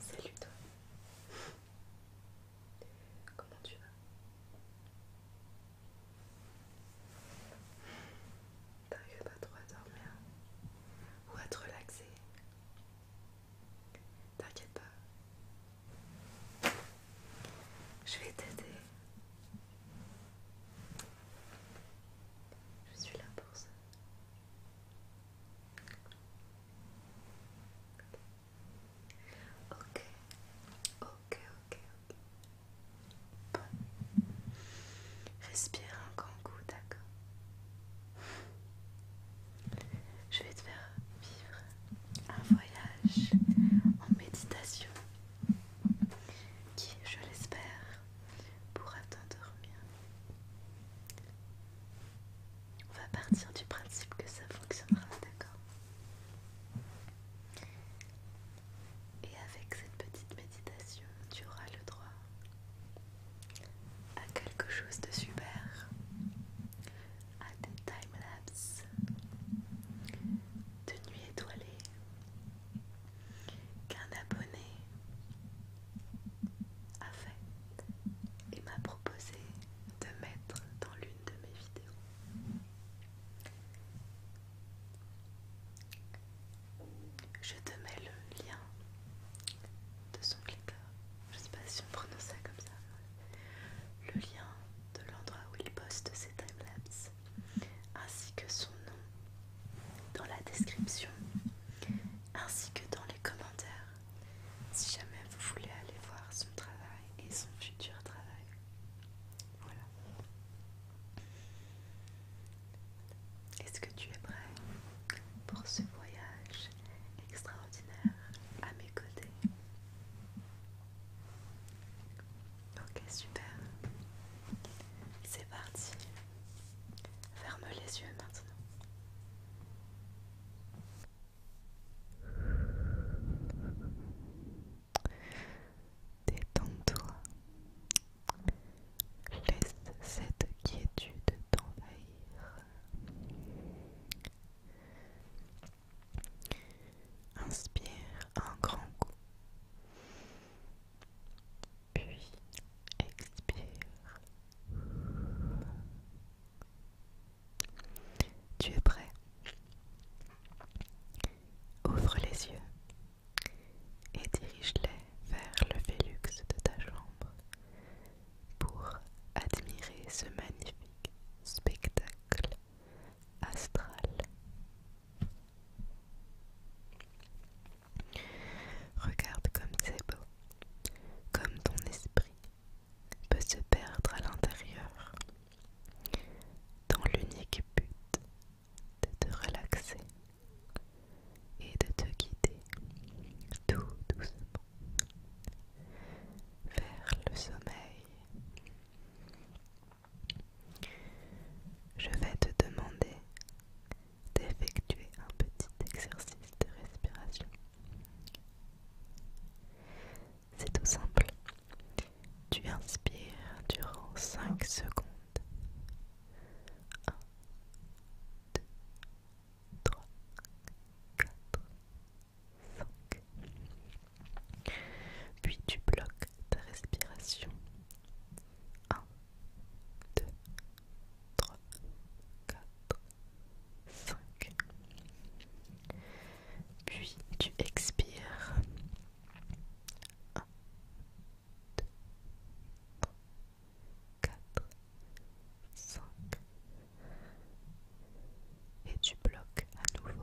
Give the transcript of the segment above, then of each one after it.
Salut toi. Comment tu vas T'arrives pas trop à dormir ou à te relaxer T'inquiète pas. Je vais t'aider. Je suis là pour ça. Ok, ok, ok, ok. Bon. Respire un grand coup, d'accord je vais te faire vivre un voyage en méditation qui, je l'espère, pourra t'endormir. On va partir du principe que ça fonctionnera, d'accord Et avec cette petite méditation, tu auras le droit à quelque chose de super à des time de nuit étoilée qu'un abonné a fait et m'a proposé de mettre dans l'une de mes vidéos. Je te mets le lien de son clicker Je sais pas si on prononce ça comme ça le lien de l'endroit où il poste ses timelapses, ainsi que son nom dans la description, ainsi que dans les commentaires, si jamais vous voulez aller voir son travail et son futur travail. Voilà. Est-ce que tu es prêt pour ce voyage extraordinaire à mes côtés Ok, super. C'est parti. Ferme les yeux maintenant. Détends-toi. Laisse cette quiétude t'envahir. Inspire un grand coup. Puis expire. Tu es prêt. Ouvre les yeux et dirige-les vers le Vélux de ta chambre pour admirer ce magnifique spectacle Astral. Regarde comme c'est beau, comme ton esprit peut se perdre à l'intérieur, dans l'unique but de te relaxer et de te guider tout doucement vers le sommeil je vais te demander d'effectuer un petit exercice de respiration. C'est tout simple. Tu inspires durant 5 secondes. 1, 2, 3, 4, puis tu bloques ta respiration. 1, 2, 3, 4, 5. Puis tu expires. 1, 2, 3, 4, 5. Et tu bloques à nouveau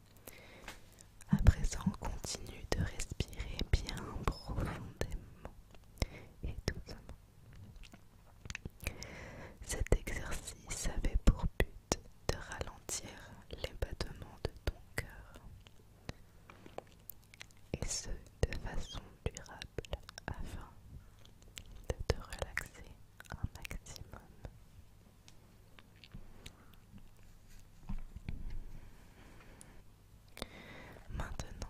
À présent, continue de respirer bien profondément et doucement. Cet exercice avait pour but de ralentir les battements de ton cœur, et ce de façon durable afin de te relaxer un maximum. Maintenant,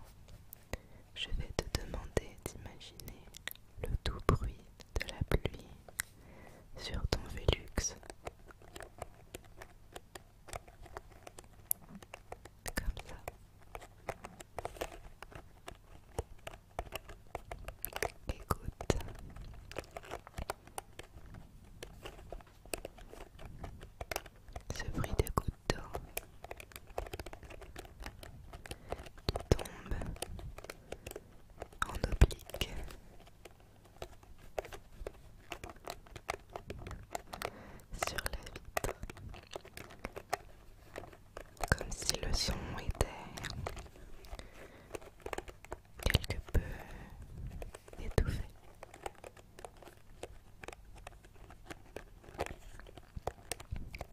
je vais te demander d'imaginer le doux bruit de la pluie sur ton Vélux. Comme ça. Écoute. Ce bruit de goutte qui tombe en oblique. Sur la vitre, comme si le son était quelque peu étouffé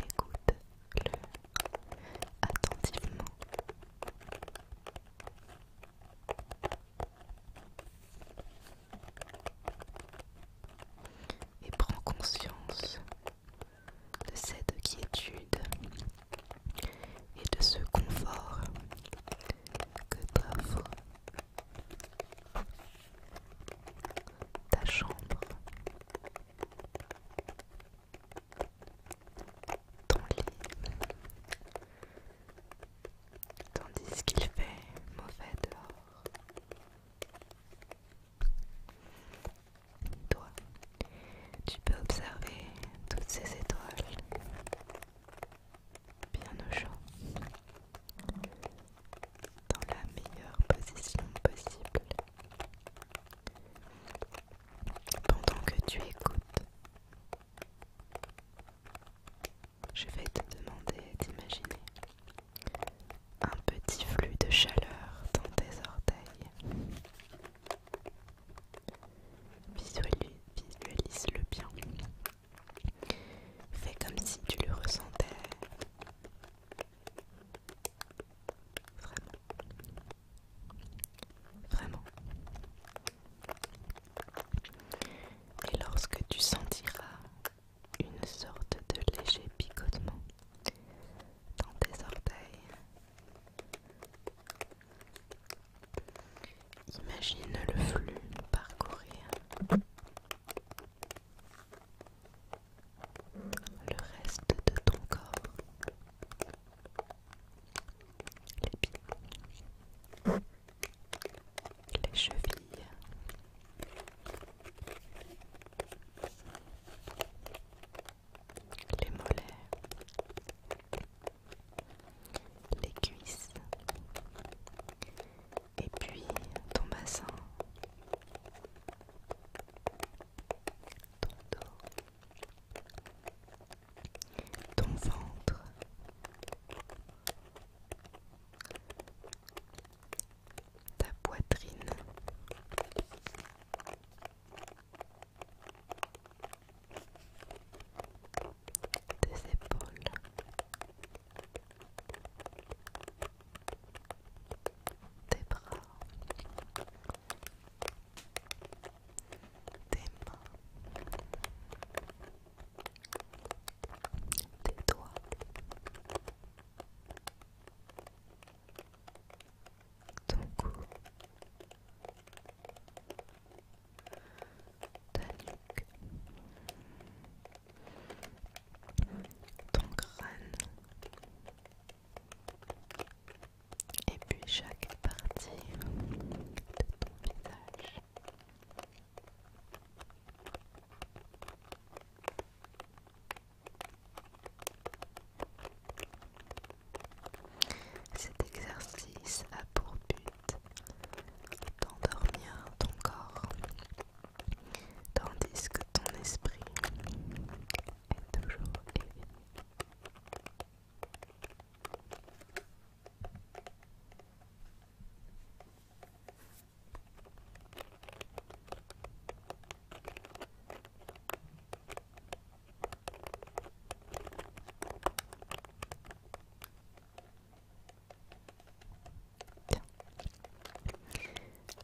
Écoute-le attentivement. Et prends conscience de cette quiétude et de ce confort que t'offre ta chambre, ton lit, tandis qu'il fait mauvais dehors. Toi, tu peux observer toutes ces étoiles bien au chaud, dans la meilleure position possible, pendant que tu écoutes. Je vais te demander d'imaginer un petit flux de chaleur dans tes orteils. Visualise, le bien. Fais comme si tu le ressentais. Vraiment. Vraiment. Et lorsque tu sentiras une sorte de léger picotement dans tes orteils, Imagine le flux parcourir le reste de ton corps, les pieds, les chevilles, les mollets, les cuisses et puis ton bassin, ton dos, ton ventre, ta poitrine des épaules. Des bras, des mains, des doigts, ton cou, ta ton crâne et puis chaque partie de ton visage. Cet exercice a pour but d'endormir ton corps, tandis que ton esprit est toujours éveillé.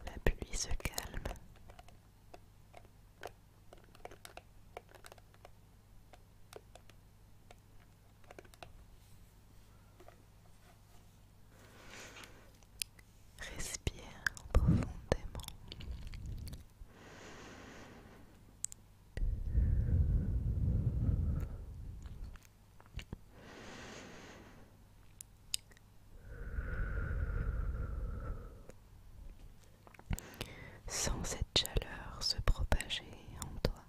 La pluie se calme. Respire profondément. Sans cette chaleur se propager en toi,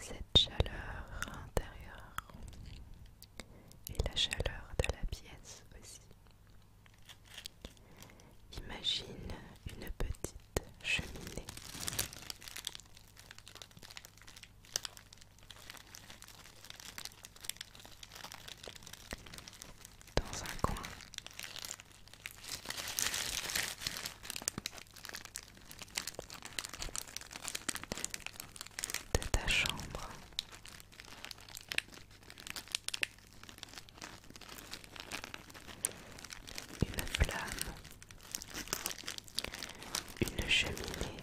cette chaleur intérieure et la chaleur de la pièce aussi. Imagine une petite cheminée. Dans un coin, de ta chambre, une flamme, une cheminée,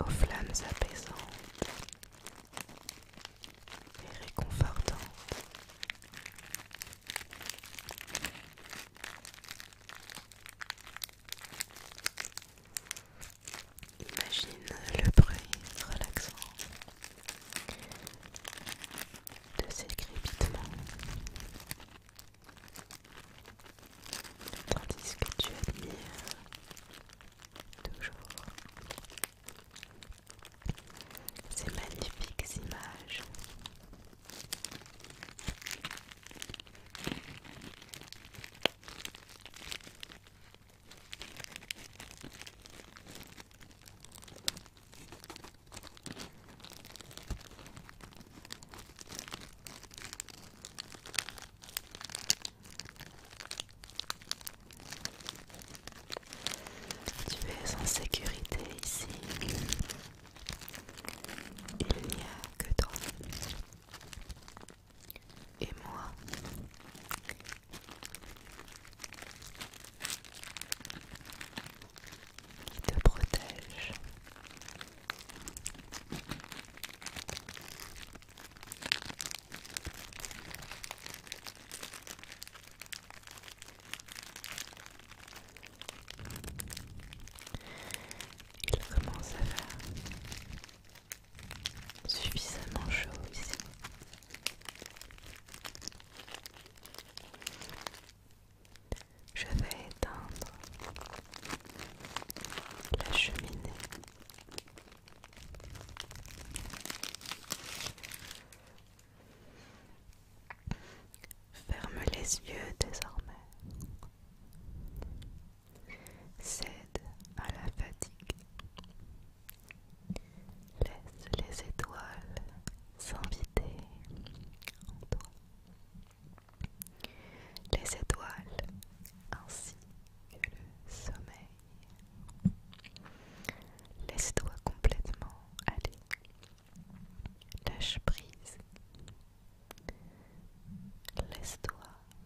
aux flammes apaisantes et réconfortantes. Imagine le bruit relaxant de ces crépitements tandis que tu admires toujours ces magnifiques images. Tu es en sécurité ici. Il n'y a que toi. Et moi qui te protège. Il commence à faire suffisamment chaud ici. Je vais éteindre la cheminée. Ferme les yeux désormais. Cède à la fatigue. Laisse les étoiles s'inviter en toi. Les étoiles ainsi que le sommeil. Laisse-toi complètement aller. Lâche prise. Laisse-toi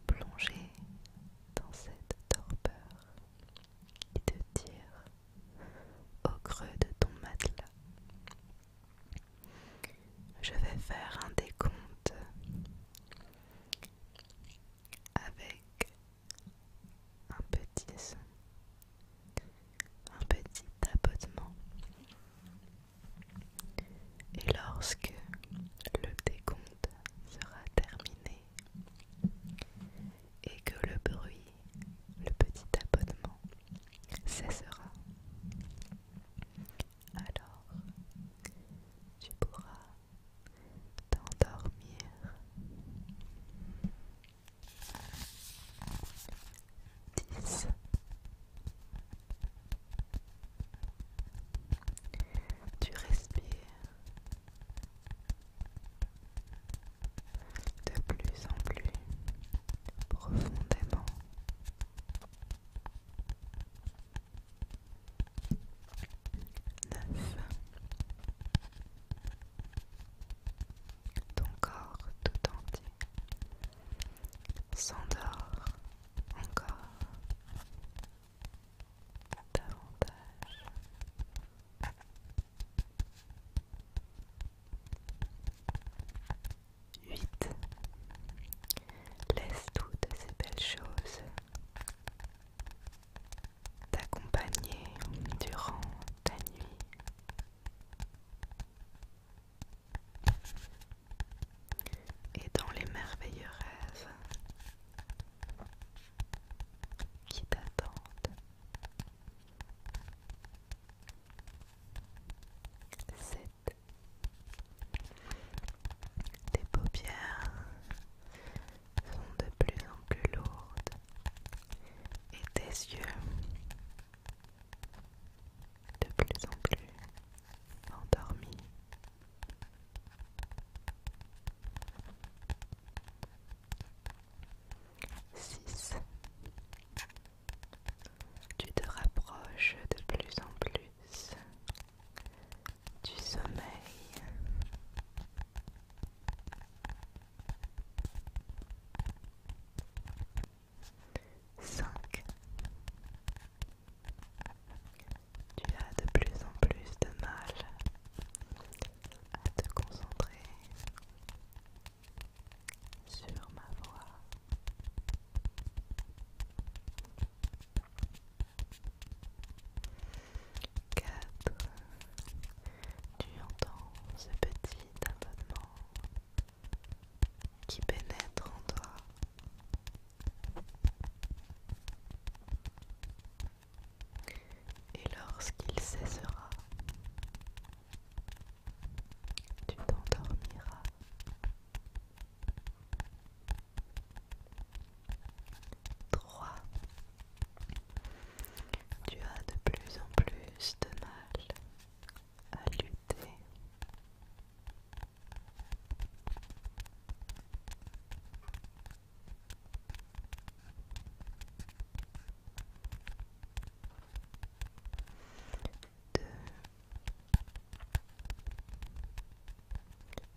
plonger dans cette torpeur et te tire au creux de ton matelas. Je vais faire un décompte avec un petit son, un petit tapotement. Et lorsque le décompte sera terminé, et que le bruit, le petit abonnement, cessera. Alors, tu pourras t'endormir. 10 Tu respires de plus en plus profondément. Neuf. Ton corps tout entier s'endort encore davantage. 8. Laisse toutes ces belles choses t'accompagner durant ta nuit. Et dans les merveilleux rêves qui t'attendent. Sept. Tes paupières sont de plus en plus lourdes et tes yeux de plus en plus endormis. 6. Tu te rapproches de plus en plus du sommeil. 5. Tu as de plus en plus de mal à te concentrer sur ma voix. Quatre, tu entends ce petit abonnement qui pénètre en toi et lorsqu'il cessera, tu t'endormiras. Trois. Tu as de plus en plus de mal à lutter.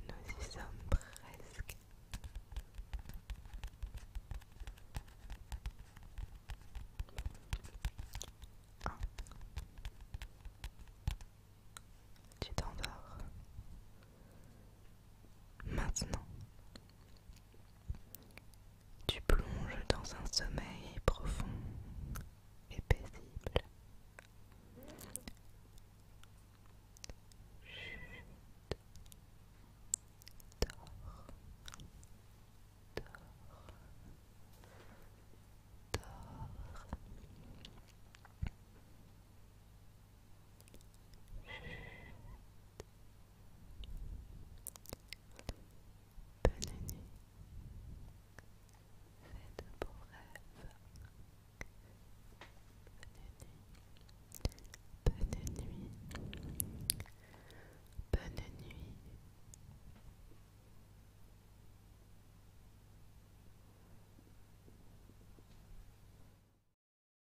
Nous y sommes presque. Un. Tu t'endors. Maintenant, tu plonges dans un sommeil profond et paisible. Bonne nuit. faites de beaux rêves. Bonne nuit. Bonne nuit. Bonne nuit.